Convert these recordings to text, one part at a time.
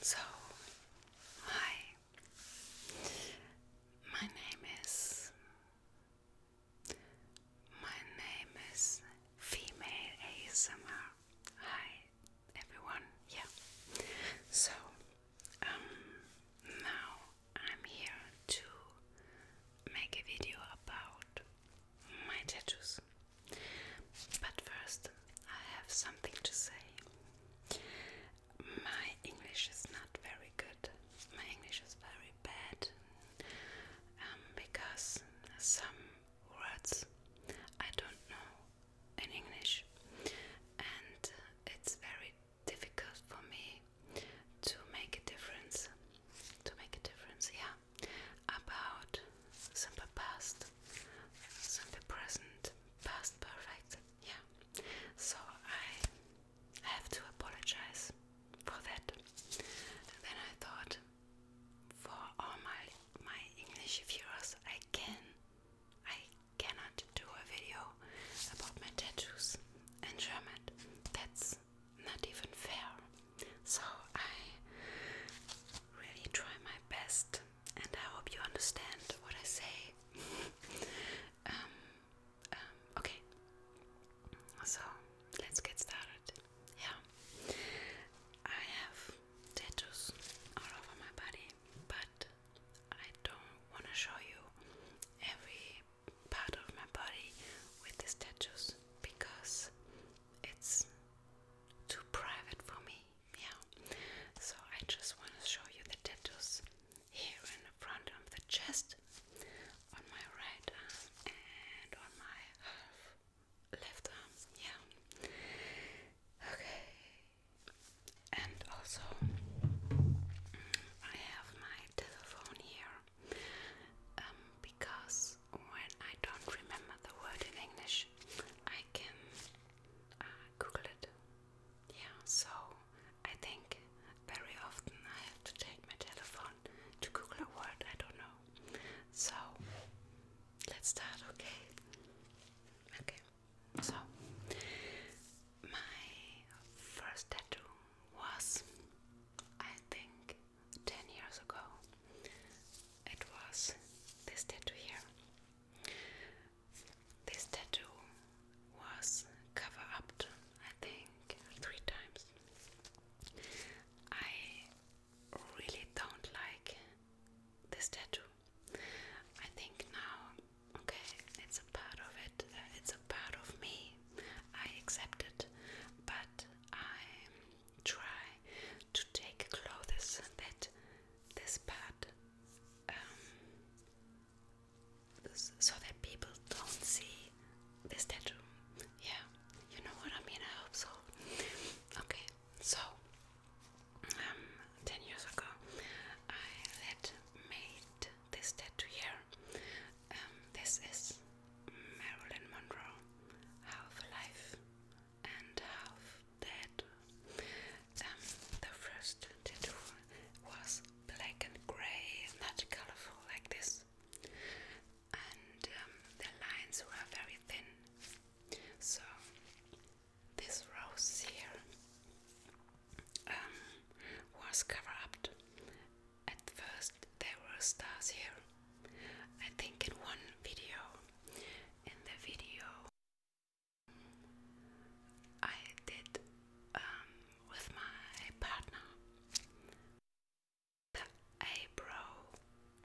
So, hi. My name is. My name is Female ASMR. Hi, everyone. Yeah. So, um, now I'm here to make a video about my tattoos. But first, I have something to say. My English is not very good. My English is very bad um, because some words I don't know in English, and it's very difficult for me to make a difference. To make a difference, yeah, about simple past, simple present, past perfect. Yeah. So I have to apologize for that. Then I thought for all my my English viewers I can I cannot do a video about my tattoos in German. That's not even fair. So I really try my best and I hope you understand what I say. Um, um, okay, so let's get started. Yeah, I have tattoos all over my body, but I don't want to show you every part of my body with these tattoos because it's too private for me yeah. So I just want to show you the tattoos here in the front of the chest, on my right arm and on my left arm, yeah. Okay, and also I have my telephone here um, because when I don't remember the word in English, I can uh, Google it. Yeah, so I think very often I have to take my telephone to Google a word I don't know. So let's start, okay? Okay, so my first tattoo was, I think, 10 years ago. It was this tattoo here. This tattoo was cover up, I think, three times. I really don't like this tattoo. I think now, okay, it's a part of it, uh, it's a part of me. I accept it, but I try to take clothes that this part um, so that people don't see this tattoo. Yeah, you know what I mean. I hope so. Okay, so um, ten years ago, I had made this tattoo here. Um, this is Marilyn Monroe, half alive and half dead. Um, the first tattoo was black and grey, not colorful like this, and um, the lines were very thin. So this rose here um, was covered up. At first, there were stars here. I think in one video, in the video I did um, with my partner the eyebrow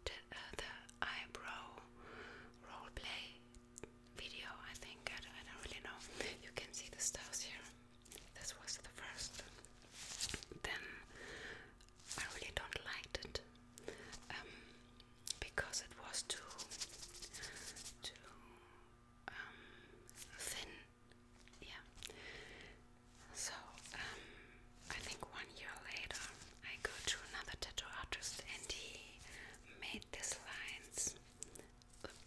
the, uh, eyebrow role play video I think I don't, really know you can see the stars here this was the first then I really don't liked it um, because it was too too um, thin. Yeah. So um, I think one year later I go to another tattoo artist and he made these lines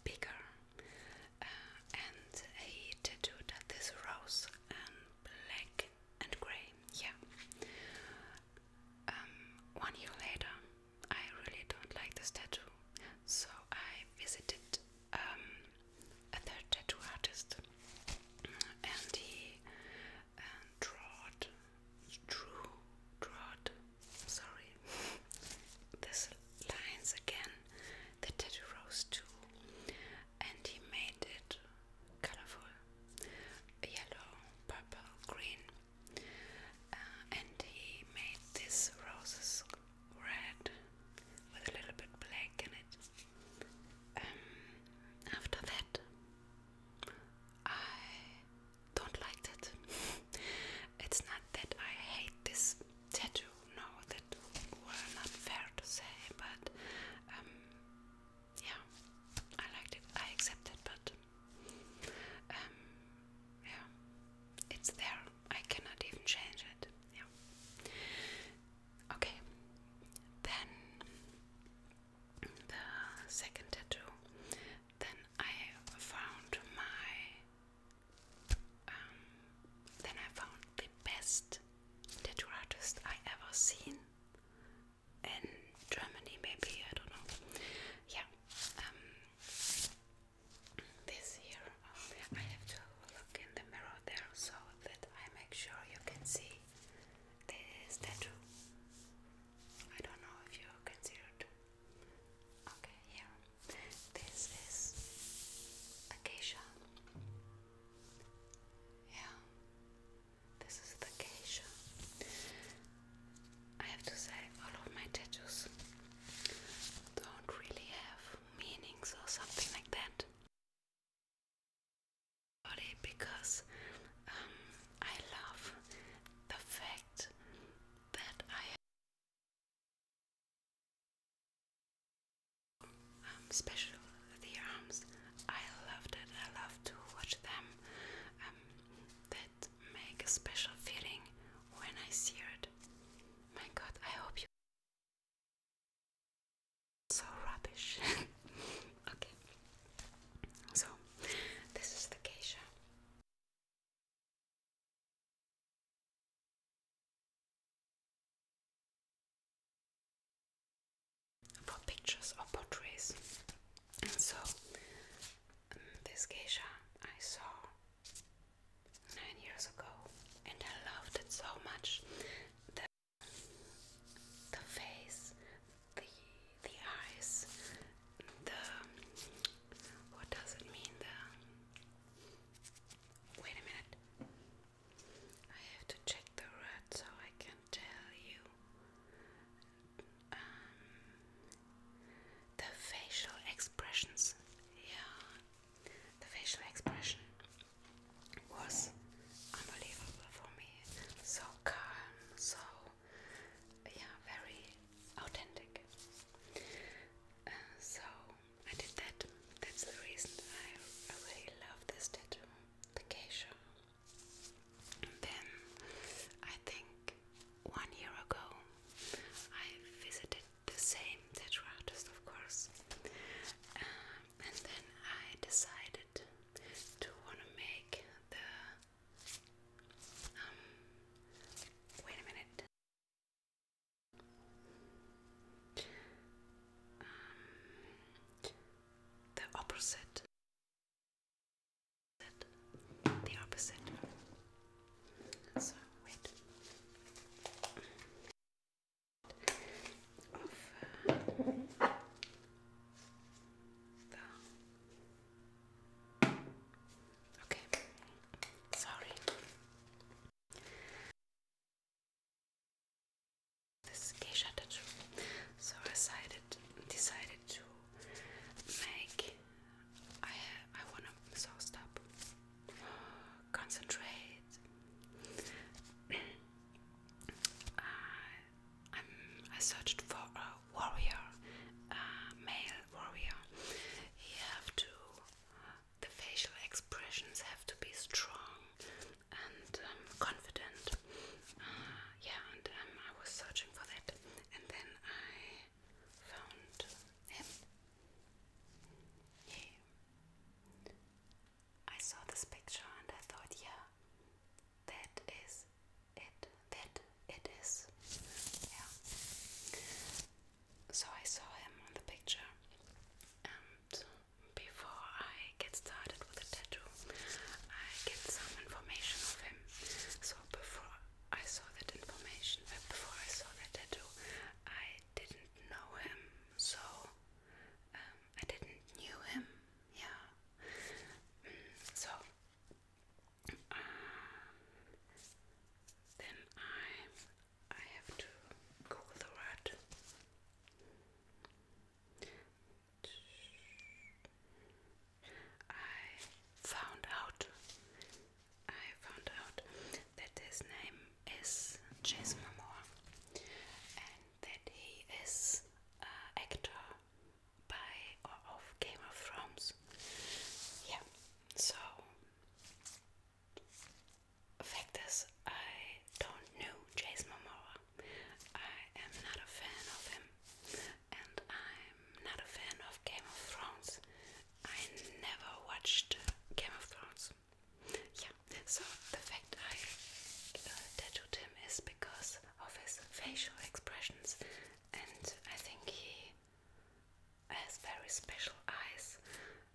bigger uh, and he tattooed this rose and black and grey. Yeah. Um, one year later, I really don't like this tattoo, so I visited um, a third tattoo artist, and he uh, drawed, drew, Sorry, this lines again. The tattoo rose too, and he made it colorful: yellow, purple, green. Uh, and he made these roses red with a little bit black in it. Um, after that, I don't like that. it's not that I hate this tattoo, no, that were not fair to say, but um, yeah, I liked it, I accept it, but um, yeah, it's there. I cannot even change it. Yeah. Okay. Then the second tattoo. Then I found my. Um, then I found the best tattoo artist I ever seen in Germany, maybe I don't know. Yeah, um, this here, um, I have to look in the mirror there so that I make sure you can see this tattoo. I don't know if you can Okay, here. This is acacia. Yeah, this is the acacia. I have to say, all of my tattoos don't really have meanings or something like that. Because um, I love the fact that I have um, special the arms. I love that. I love to watch them. Um, make a special feeling when I sear it. My god, I hope you so rubbish. okay. So this is the geisha. For pictures or portraits, and so um, this geisha I saw nine years ago, and I loved it so much. The the face, the the eyes, the what does it mean? The wait a minute. I have to check the red so I can tell you. Um, the facial expressions. Yeah, the facial expression was unbelievable for me. So calm, so yeah, very authentic. Uh, so I did that. That's the reason I, really love this tattoo, the geisha. then I think one year ago, I visited the same tattoo artist, of course, um, and then I decided to want to make the. Um, wait a minute. Um, the opposite the opposite. So wait okay. Sorry. This geisha tattoo. So I decided decided to make I I wanna stop. Concentrate. Uh, I i searched for a warrior, a male warrior. You have to the facial expressions have to be strong and um, confident. Uh, yeah, and um, I was searching for that, and then I found him. He, I saw this picture and I thought, yeah, that is it. That it is. Yeah. So I saw him on the picture, and before I get started with the tattoo, I get some information of him. So before I saw that information, but uh, before I saw that tattoo, I didn't know him, so um, I didn't knew him. Yeah. Mm, so um, then I I have to Google the word. I found out I found out that his name is Jason Momoa and that he is an actor by of Game of Thrones. Yeah, so fact is, I don't know Jason Momoa. I am not a fan of him, and I'm not a fan of Game of Thrones. I never watched Game of Thrones. Yeah, so the fact I uh, tattooed him is because of his facial expressions, and I think he has very special eyes,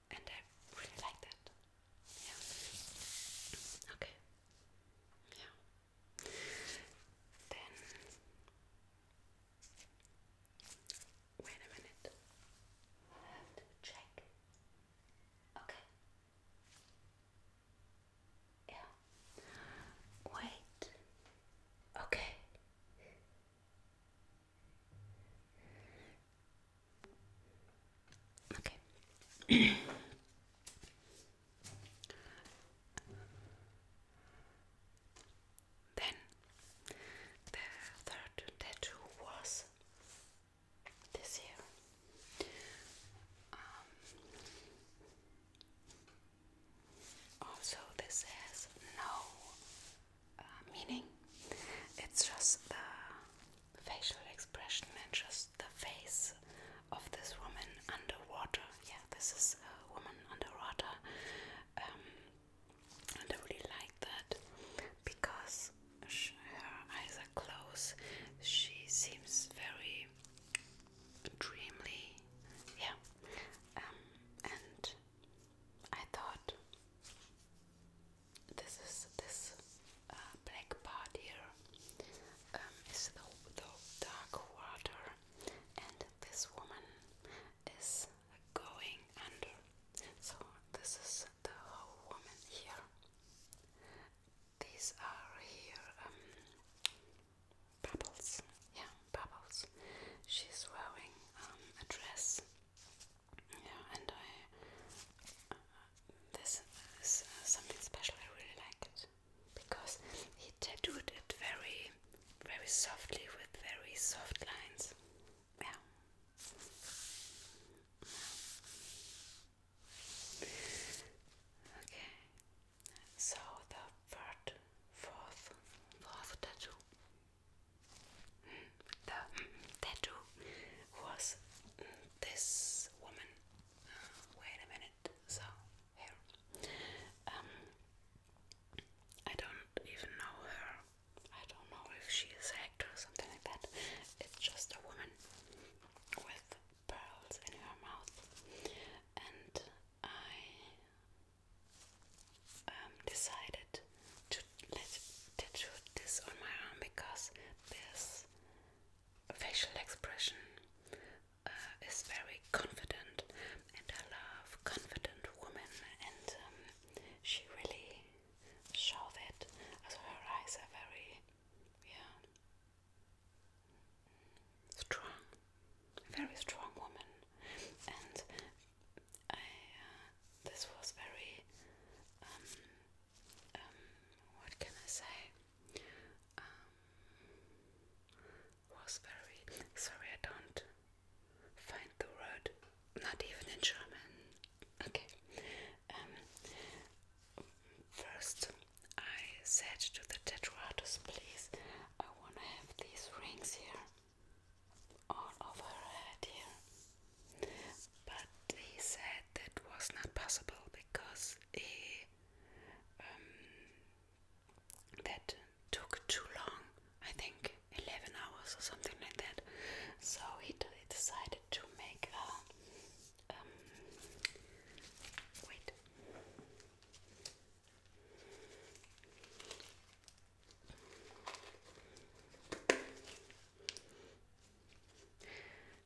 and I really like that. Yeah. Okay. Yeah. Then Wait a minute. I have to check. Okay. Yeah. Wait. Okay. Okay. Then the third tattoo was this here. Um, also, this has no uh, meaning. It's just the facial expression and just the face of this woman underwater. Yeah, this is a woman underwater. Um, I really like that because she, her eyes are closed. She seems very dreamy, yeah. Um, and I thought this is this uh, black part here um, the dark water, and this woman is going under. So this is the whole woman here. These are here um, bubbles. Yeah, bubbles. She's wearing um, a dress. Yeah, and I. Uh, this is uh, something special. I really like it because he tattooed it very, very softly with very soft lines yeah. Okay, so the third, fourth, fourth tattoo, hmm. the tattoo was hmm, this woman. Uh, wait a minute, so here, um, I don't even know her. I don't know if she is Hector or something like that. It's just a woman with pearls in her mouth, and I um, decided to let tattoo this on my arm because this facial expression uh, is very confident, and I love confident women and. Um, she really showed it. Also her eyes are very, yeah, strong, very strong woman, and I. Uh, this was very. Um, um, what can I say? Um, was very sorry. I don't Find the word. Not even in German. Okay. Um, first, I said to the tattoo artist, please, I want to have these rings here, all over her head here. But he said that was not possible because he, um, that took too long. I think 11 hours or something like that. So he decided to make a. Um, wait.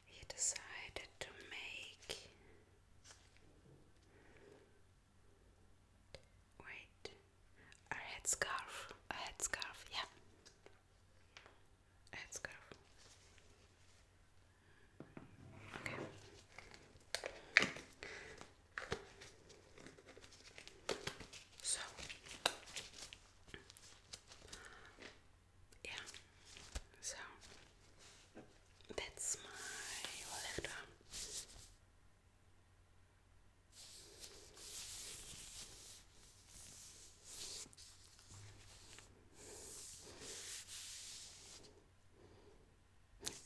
He decided to make wait, a headscarf, a headscarf, yeah, a headscarf. Okay. So, yeah, so that's my left arm.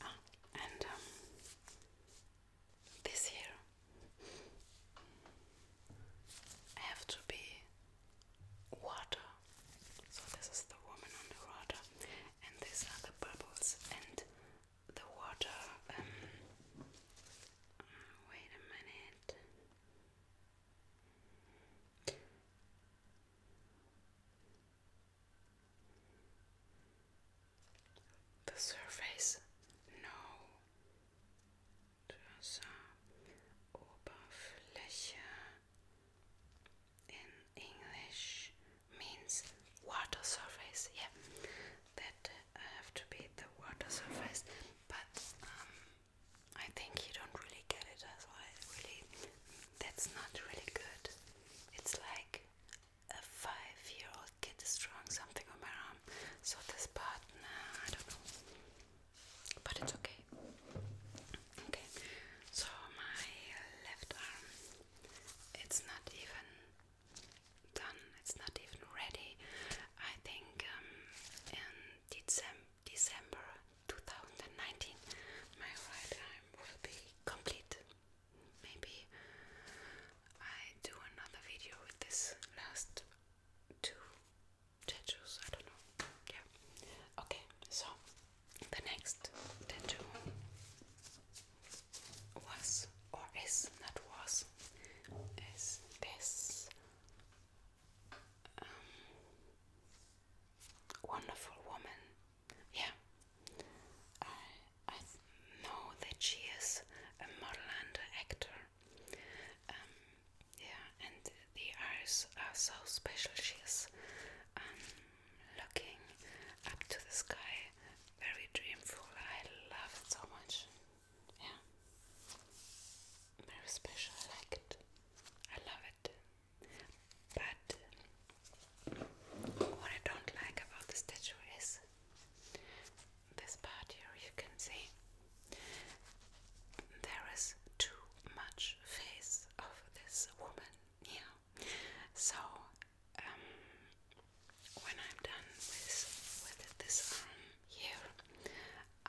Ah, and um, this here, have to be water. So this is the woman on the water, and these are the bubbles, and the water. Um, oh, wait a minute. The surface? No. Oberfläche in English means water surface. Yeah that uh, have to beat the water surface, but um, I think you don't really get it, so I really, that's not really good. It's like a five-year-old kid is drawing something on my arm, so this part, I don't know, but it's okay. Okay, so my left arm, it's not even done. It's not even ready. I think um, in December, December 2019, my right arm will be complete. Maybe I do another video with this last two tattoos. I don't know. Yeah. Okay. So the next tattoo was or is not was is this um, wonderful woman. Yeah, I I know that she is a model and an actor. Um, yeah, and the eyes are so special. She is um, looking up to the sky, very dreamful. I love it so much yeah, very special. I like it. I love it. But what I don't like about the statue is this part here. You can see there is too much face of this woman here. So um, when I'm done with with this arm um, here,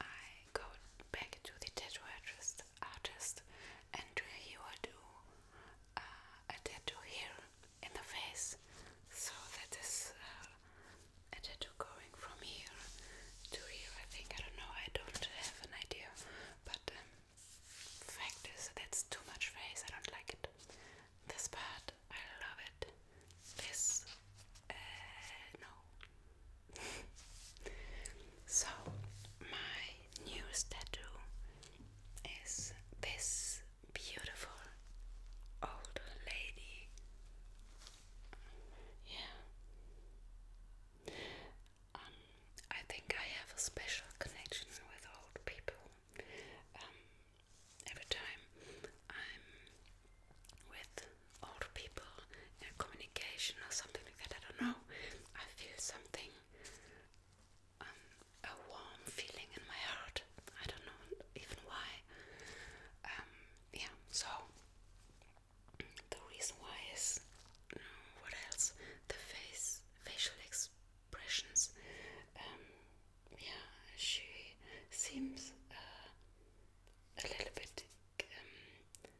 I go back to the tattoo artist, artist and he will do uh, a tattoo here in the face. So that is uh, a tattoo going from here to here. I think I don't know. I don't have an idea, but um, fact is that's too much face. I don't like it. This part, I love it. This, uh, no. so, my new tattoo is this beautiful old lady. Yeah. Um, I think I have a special connection with old people. Um, every time I'm with older people communication or something like that, I don't know, I feel something, um, a warm feeling in my heart. I don't know even why. Um, yeah, so the reason why is what else? The face, facial expressions. Um, yeah, she seems uh, a little bit um,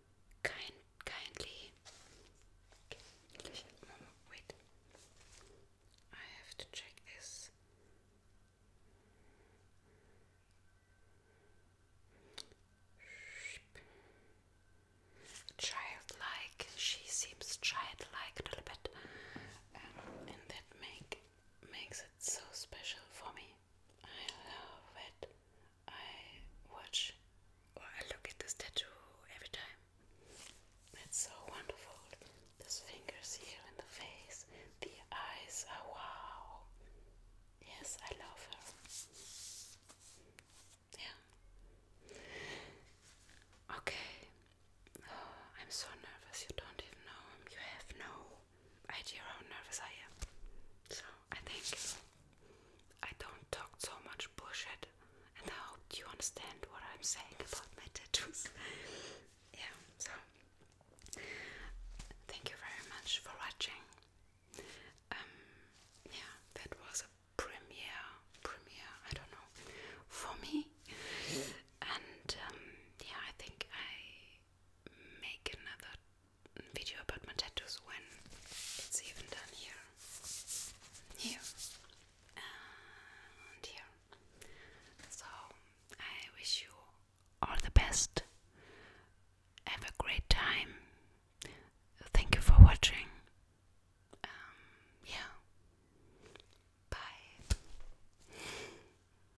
kind, kindly. Wait, I have to check this. Childlike, she seems childlike a little bit, um, and that make makes so special for me. I love it. I watch or I look at this tattoo every time. It's so wonderful. These fingers here in the face, the eyes are wow. Yes, I love her. Yeah. Okay. I'm so nervous. You don't even know. You have no I idea how nervous I am. So I think I don't talk so much bullshit, and I hope you understand what I'm saying about my tattoos. yeah. So thank you very much for watching. Um, yeah, that was a premiere. Premiere. I don't know. For me. And um, yeah, I think I make another video about my tattoos when it's even done here. Here and here. So I wish you all the best. Have a great time. Thank you for watching. Um, yeah. Bye.